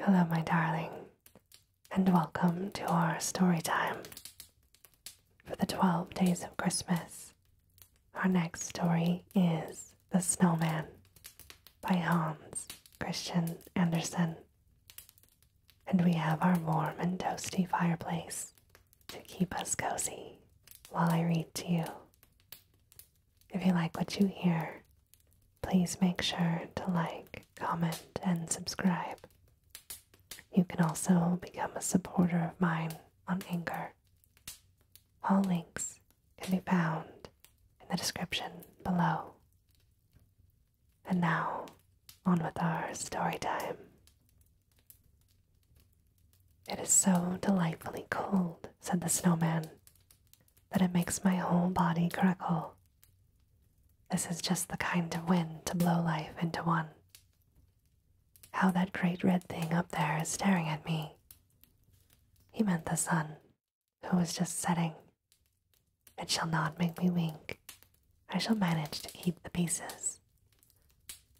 Hello, my darling, and welcome to our story time. For the 12 days of Christmas, our next story is The Snowman by Hans Christian Andersen. And we have our warm and toasty fireplace to keep us cozy while I read to you. If you like what you hear, Please make sure to like, comment, and subscribe. You can also become a supporter of mine on Anchor. All links can be found in the description below. And now, on with our story time. It is so delightfully cold, said the snowman, that it makes my whole body crackle. This is just the kind of wind to blow life into one. How that great red thing up there is staring at me. He meant the sun, who was just setting. It shall not make me wink. I shall manage to keep the pieces.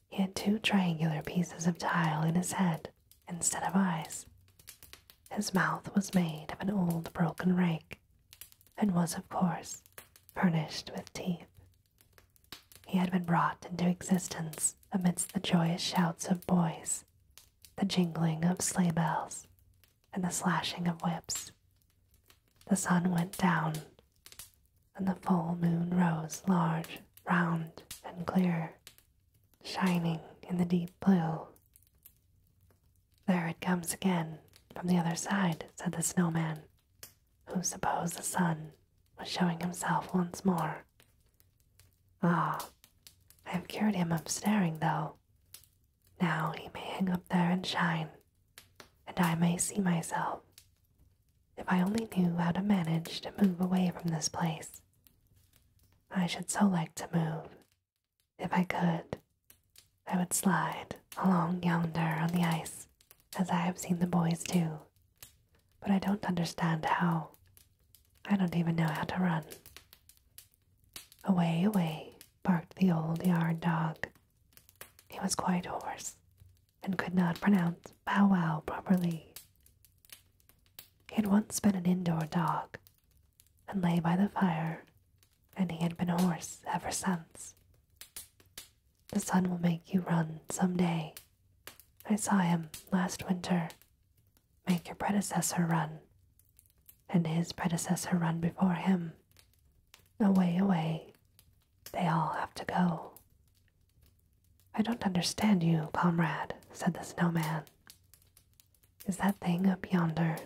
He had two triangular pieces of tile in his head, instead of eyes. His mouth was made of an old broken rake, and was, of course, furnished with teeth. He had been brought into existence amidst the joyous shouts of boys, the jingling of sleigh bells, and the slashing of whips. The sun went down, and the full moon rose large, round, and clear, shining in the deep blue there it comes again from the other side, said the snowman, who supposed the sun was showing himself once more. Ah, I have cured him of staring, though. Now he may hang up there and shine, and I may see myself. If I only knew how to manage to move away from this place, I should so like to move if I could, I would slide along yonder on the ice, as I have seen the boys do. But I don't understand how. I don't even know how to run. Away, away, barked the old yard dog. He was quite hoarse and could not pronounce bow wow properly. He had once been an indoor dog, and lay by the fire, and he had been hoarse ever since. The sun will make you run some day. I saw him last winter. Make your predecessor run, and his predecessor run before him. Away, away, they all have to go. I don't understand you, comrade, said the snowman is that thing up yonder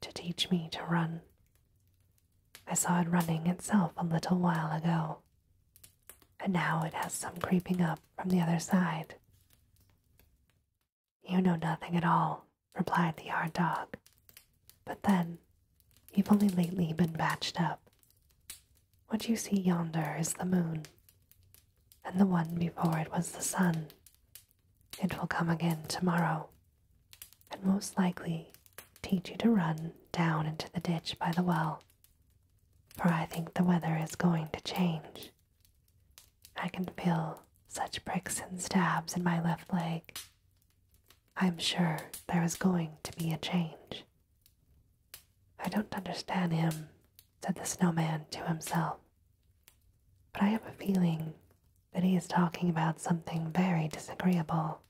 to teach me to run. I saw it running itself a little while ago, and now it has some creeping up from the other side. You know nothing at all, replied the yard dog. But then, you've only lately been batched up. What you see yonder is the moon, and the one before it was the sun, it will come again tomorrow, and most likely teach you to run down into the ditch by the well, for I think the weather is going to change. I can feel such pricks and stabs in my left leg. I'm sure there is going to be a change. I don't understand him said the snowman to himself. But I have a feeling that he is talking about something very disagreeable.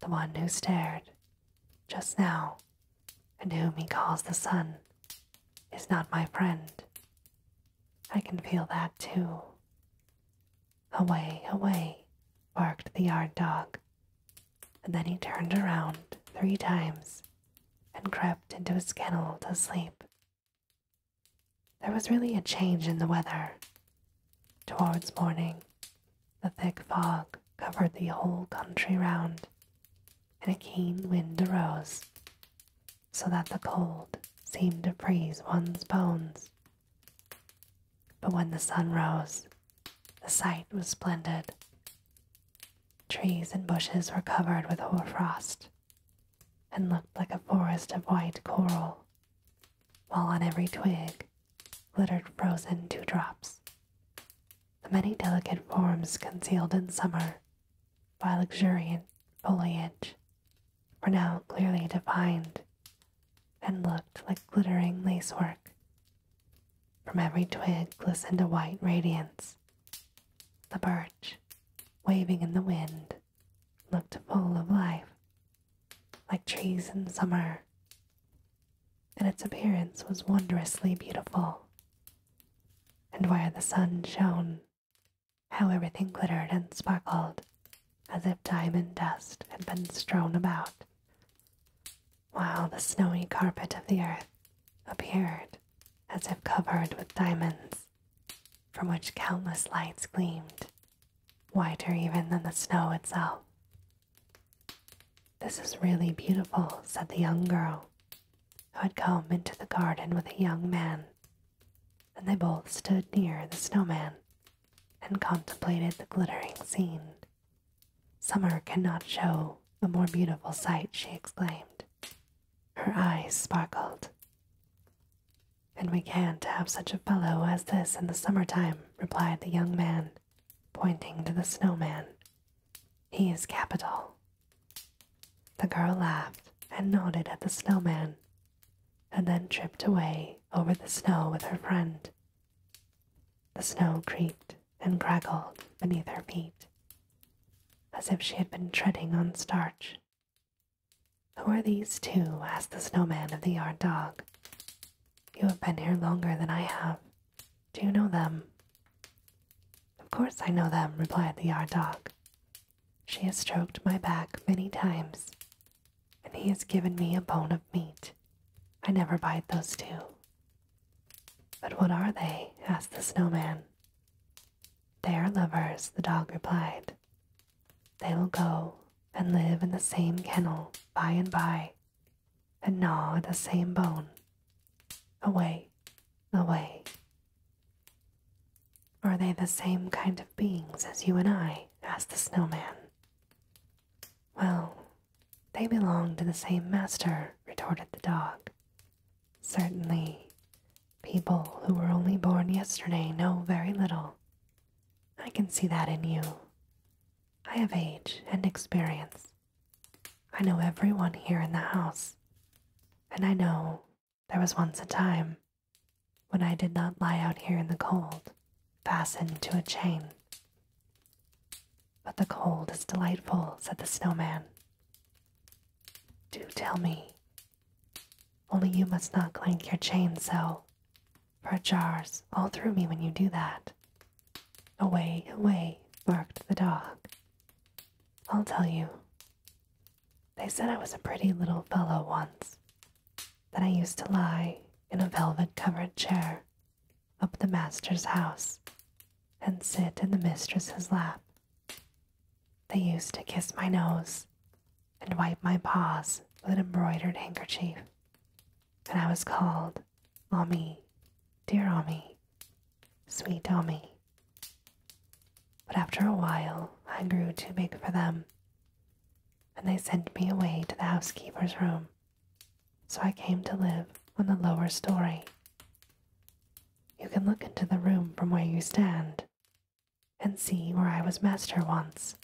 The one who stared just now and whom he calls the sun is not my friend. I can feel that too. Away, away, barked the yard dog, and then he turned around three times and crept into his kennel to sleep. There was really a change in the weather. Towards morning, the thick fog covered the whole country round, and a keen wind arose, so that the cold seemed to freeze one's bones. But when the sun rose, the sight was splendid. Trees and bushes were covered with hoar frost, and looked like a forest of white coral, while on every twig glittered frozen dewdrops. The many delicate forms concealed in summer by luxuriant foliage were now clearly defined and looked like glittering lacework. From every twig glistened a white radiance, the birch, waving in the wind, looked full of life, like trees in summer, and its appearance was wondrously beautiful. And where the sun shone, how everything glittered and sparkled, as if diamond dust had been strewn about, while the snowy carpet of the earth appeared as if covered with diamonds, from which countless lights gleamed, whiter even than the snow itself. This is really beautiful, said the young girl, who had come into the garden with a young man, and they both stood near the snowman and contemplated the glittering scene. Summer cannot show a more beautiful sight, she exclaimed. Her eyes sparkled. And we can't have such a fellow as this in the summer time," replied the young man, pointing to the snowman. He is capital. The girl laughed and nodded at the snowman, and then tripped away over the snow with her friend. The snow creaked and crackled beneath her feet, as if she had been treading on starch. Who are these two? asked the snowman of the yard dog. You have been here longer than I have. Do you know them? Of course I know them, replied the yard dog. She has stroked my back many times, and he has given me a bone of meat. I never bite those two. But what are they? asked the snowman, they are lovers, the dog replied. They will go and live in the same kennel by and by, and gnaw the same bone. Away, away. Are they the same kind of beings as you and I? asked the snowman. Well, they belong to the same master, retorted the dog. Certainly, people who were only born yesterday know very little. I can see that in you. I have age and experience. I know everyone here in the house, and I know there was once a time when I did not lie out here in the cold, fastened to a chain. But the cold is delightful, said the snowman. Do tell me. Only you must not clank your chain so, for it jars all through me when you do that. Away, away, barked the dog. I'll tell you. They said I was a pretty little fellow once, that I used to lie in a velvet covered chair up the master's house and sit in the mistress's lap they used to kiss my nose and wipe my paws with an embroidered handkerchief, and I was called Ommi, dear Ommi, sweet Ommi. But after a while, I grew too big for them, and they sent me away to the housekeeper's room, so I came to live on the lower story. You can look into the room from where you stand, and see where I was master once,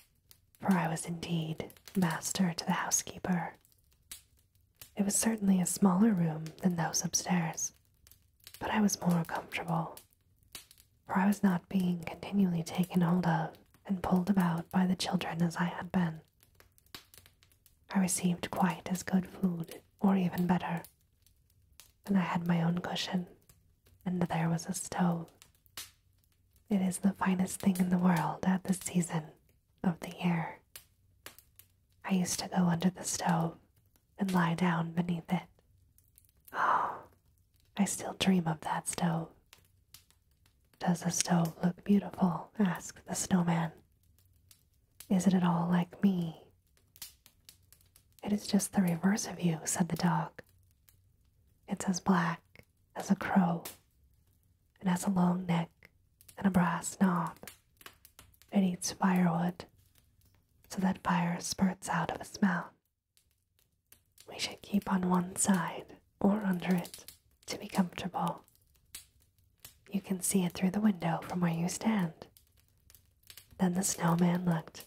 for I was indeed master to the housekeeper. It was certainly a smaller room than those upstairs, but I was more comfortable, for I was not being continually taken hold of and pulled about by the children as I had been. I received quite as good food, or even better, and I had my own cushion, and there was a stove. It is the finest thing in the world at this season of the year. I used to go under the stove and lie down beneath it. Oh, I still dream of that stove. Does the stove look beautiful? asked the snowman. Is it at all like me? It is just the reverse of you, said the dog. It's as black as a crow, and has a long neck and a brass knob. It eats firewood, so that fire spurts out of its mouth. We should keep on one side or under it to be comfortable. You can see it through the window from where you stand. Then the snowman looked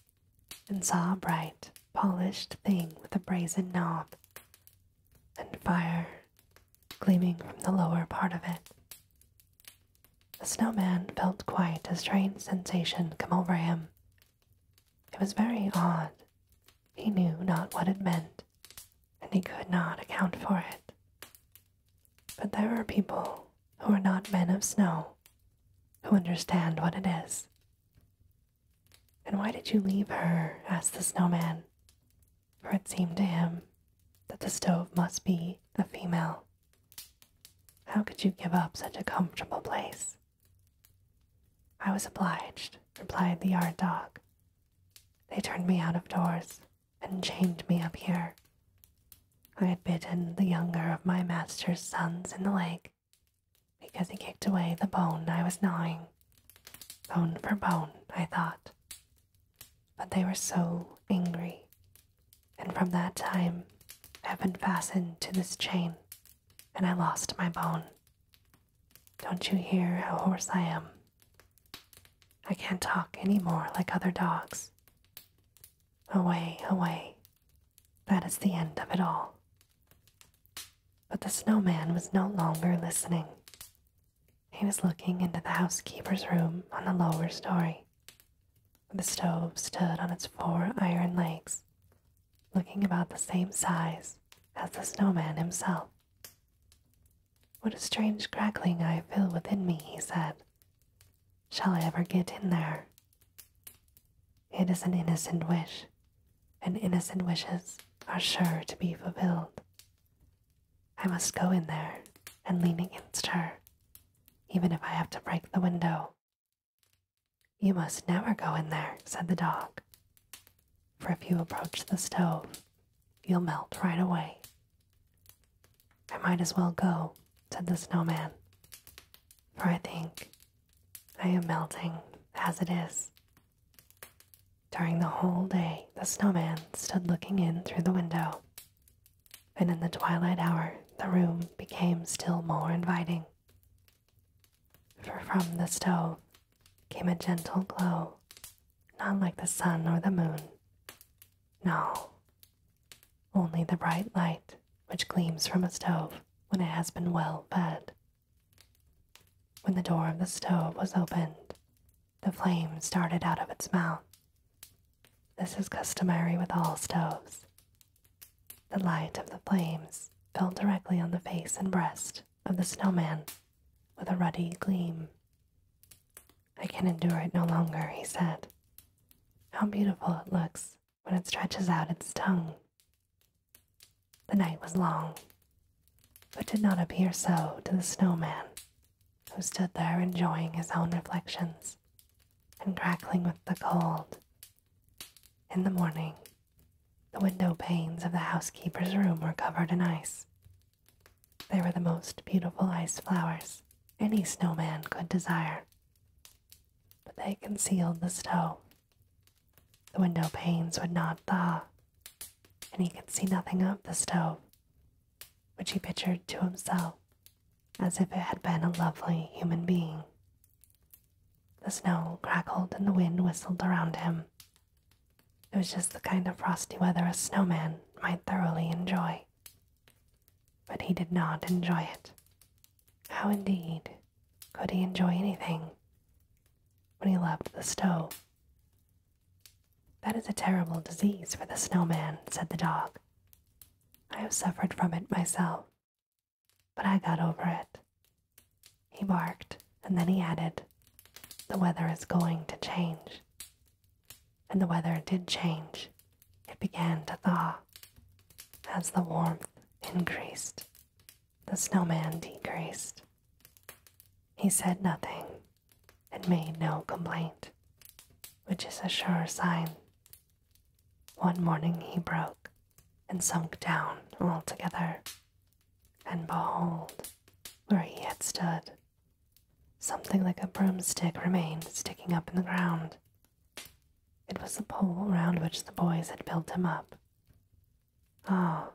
and saw a bright, polished thing with a brazen knob and fire gleaming from the lower part of it. The snowman felt quite a strange sensation come over him. It was very odd. He knew not what it meant, and he could not account for it. But there are people who are not men of snow who understand what it is. And why did you leave her? asked the snowman, for it seemed to him that the stove must be a female. How could you give up such a comfortable place? I was obliged, replied the yard dog. They turned me out of doors, and chained me up here. I had bitten the younger of my master's sons in the leg because he kicked away the bone I was gnawing. Bone for bone, I thought. But they were so angry, and from that time I have been fastened to this chain, and I lost my bone. Don't you hear how hoarse I am I can't talk any more like other dogs. Away, away. That is the end of it all. But the snowman was no longer listening. He was looking into the housekeeper's room on the lower story. The stove stood on its four iron legs, looking about the same size as the snowman himself. What a strange crackling I feel within me, he said. Shall I ever get in there? It is an innocent wish, and innocent wishes are sure to be fulfilled. I must go in there and lean against her, even if I have to break the window. You must never go in there, said the dog, for if you approach the stove, you'll melt right away I might as well go, said the snowman, for I think I am melting as it is. During the whole day, the snowman stood looking in through the window, and in the twilight hour, the room became still more inviting. For from the stove came a gentle glow, not like the sun or the moon, no, only the bright light which gleams from a stove when it has been well fed. When the door of the stove was opened, the flame started out of its mouth. This is customary with all stoves. The light of the flames fell directly on the face and breast of the snowman with a ruddy gleam. I can endure it no longer, he said. How beautiful it looks when it stretches out its tongue. The night was long, but did not appear so to the snowman, who stood there enjoying his own reflections and crackling with the cold. In the morning, the window panes of the housekeeper's room were covered in ice, they were the most beautiful ice flowers any snowman could desire. But they concealed the stove. The window panes would not thaw, and he could see nothing of the stove, which he pictured to himself as if it had been a lovely human being. The snow crackled and the wind whistled around him. It was just the kind of frosty weather a snowman might thoroughly enjoy. But he did not enjoy it. How indeed could he enjoy anything when he loved the stove? That is a terrible disease for the snowman, said the dog. I have suffered from it myself, but I got over it. He barked, and then he added, The weather is going to change and the weather did change. It began to thaw. As the warmth increased, the snowman decreased. He said nothing and made no complaint, which is a sure sign. One morning he broke and sunk down altogether, and behold, where he had stood Something like a broomstick remained sticking up in the ground. It was the pole round which the boys had built him up. Ah,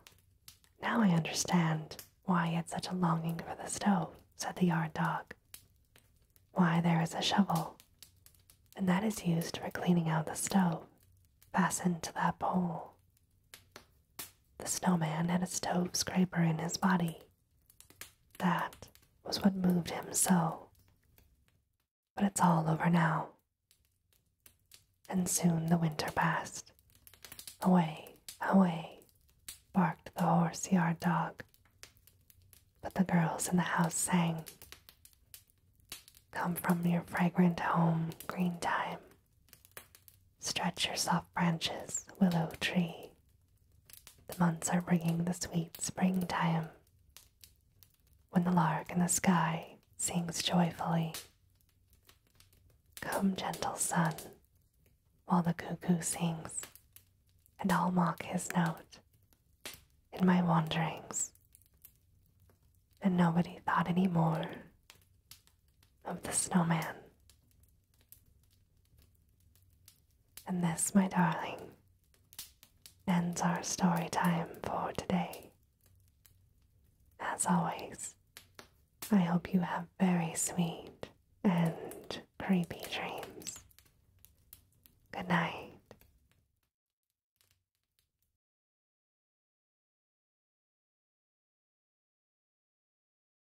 now I understand why he had such a longing for the stove, said the yard dog. Why there is a shovel, and that is used for cleaning out the stove, fastened to that pole. The snowman had a stove scraper in his body, that was what moved him so. But it's all over now. And soon the winter passed. Away, away, barked the horse yard dog. But the girls in the house sang. Come from your fragrant home, green time. Stretch your soft branches, willow tree. The months are bringing the sweet springtime. When the lark in the sky sings joyfully. Come, gentle sun, while the cuckoo sings, and I'll mock his note in my wanderings. And nobody thought any more of the snowman. And this, my darling, ends our story time for today. As always, I hope you have very sweet and creepy dreams. Good night.